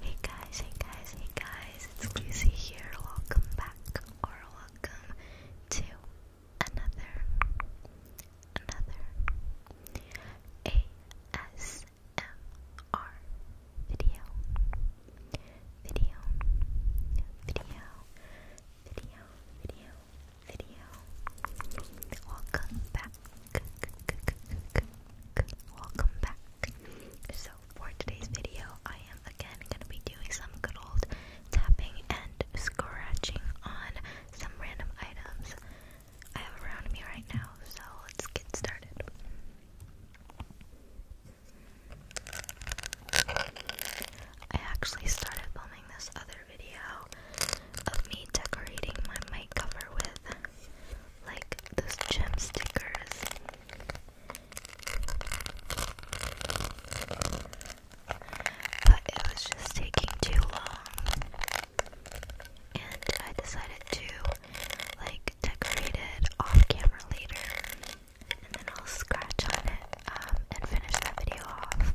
Hey guys, hey guys, hey guys, it's Lucy here. Welcome back or welcome to another another ASMR video. Video video video video video. Welcome back Welcome back. So for today's video, I am again going to be doing some good old tapping and scratching on some random items I have around me right now. So let's get started. I actually started filming this other video of me decorating my mic cover with like those gem stickers. But it was just taking too long. And I decided to like decorate it off camera later. And then I'll scratch on it um, and finish that video off.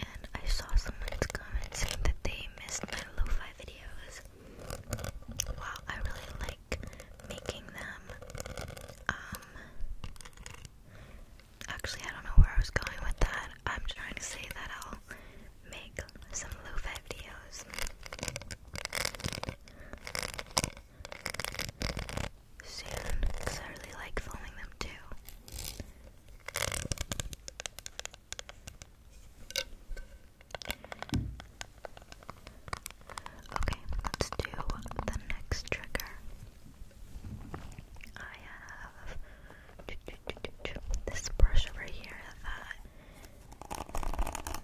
And I saw someone's comment saying that they missed my lo-fi videos. Wow, I really like making them. Um actually I don't know where I was going with that. I'm trying to say that I'll make some lo-fi videos soon I really like filming them too. Okay, let's do the next trigger. I have this brush over here that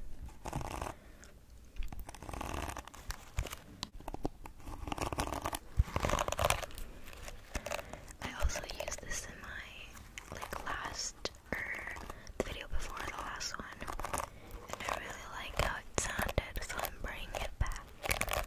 I also used this in my like last or er, the video before the last one, and I really like how it sounded, so I'm bringing it back.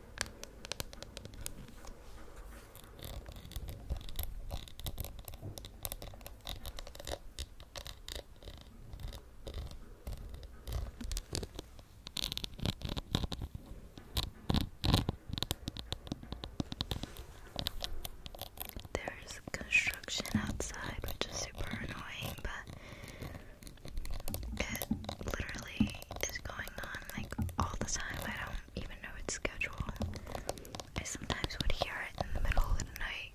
There's construction outside, which is super annoying, but it literally is going on like all the time. I don't even know its schedule. I sometimes would hear it in the middle of the night.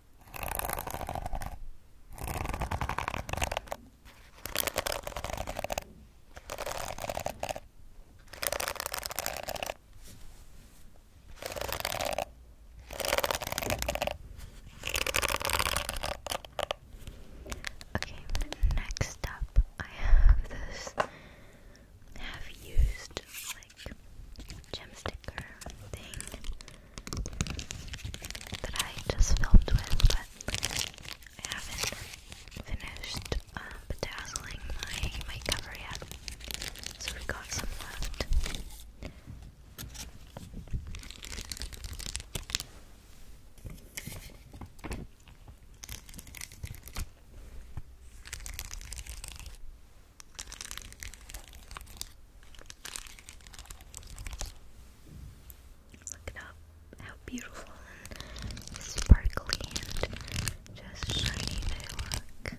Okay, next up I have this have used gem sticker thing that I just filmed with, but I haven't finished uh, bedazzling my my cover yet, so we have got some left. Look at how, how beautiful and sparkly and just shiny they look.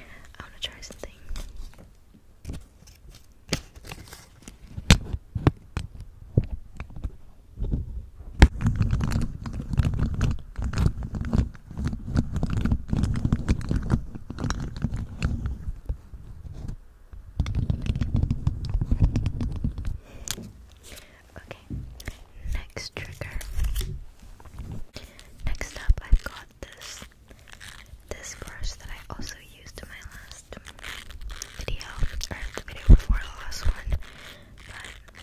I want to try something. Okay, next trigger. Next up, i got this this brush that I also used in my last video, or the video before the last one, but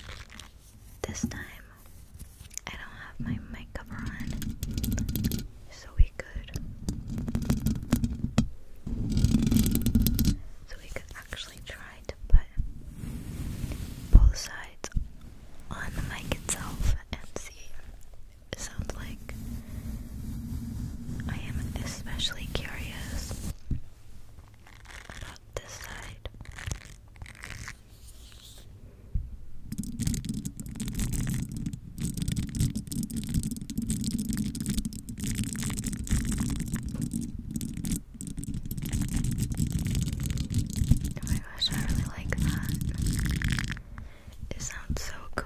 this time I don't have my mic cover on, so we could, so we could actually try to put both sides on the mic itself and see sounds like. I am especially curious about this side. Oh my gosh, I really like that. It sounds so cool.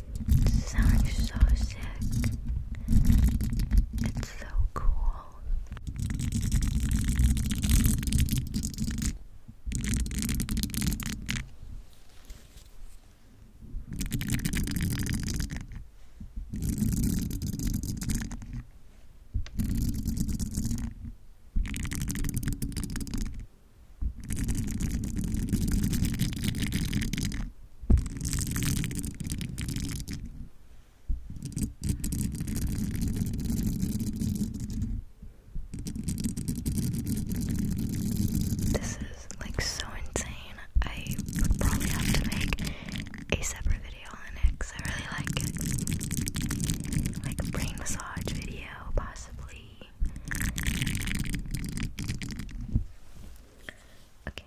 sounds so sick. It's so cool. This is like so insane. I would probably have to make a separate video on it because I really like it. Like a brain massage video, possibly. Okay.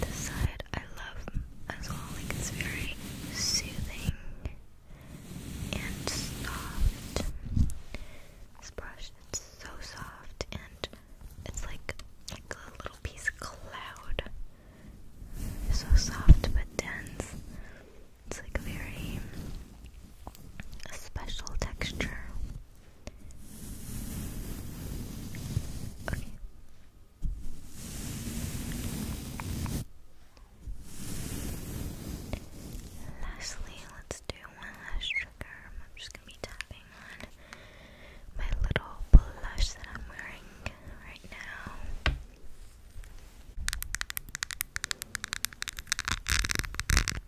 This side I love as well. Like it's very soothing and soft. This brush, it's so soft and it's like like a little piece of cloud. So soft but dense. It's like a very special texture. Okay. Lastly, let's do one last trigger. I'm just gonna be tapping on my little blush that I'm wearing right now.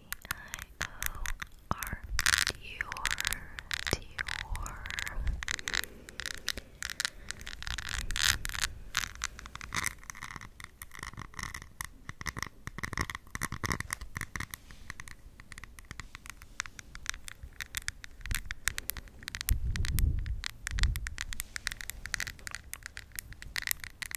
D-I-O-R Dior Dior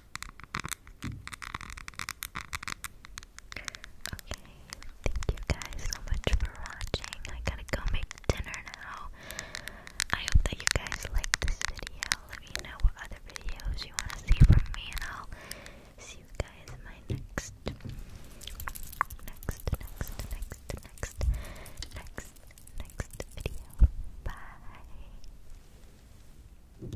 Okay, thank you guys so much for watching. I gotta go make dinner now. I hope that you guys liked this video. Let me know what other videos you want to see from me, and I'll see you guys in my next, next, next, next, next, next, next video. Bye.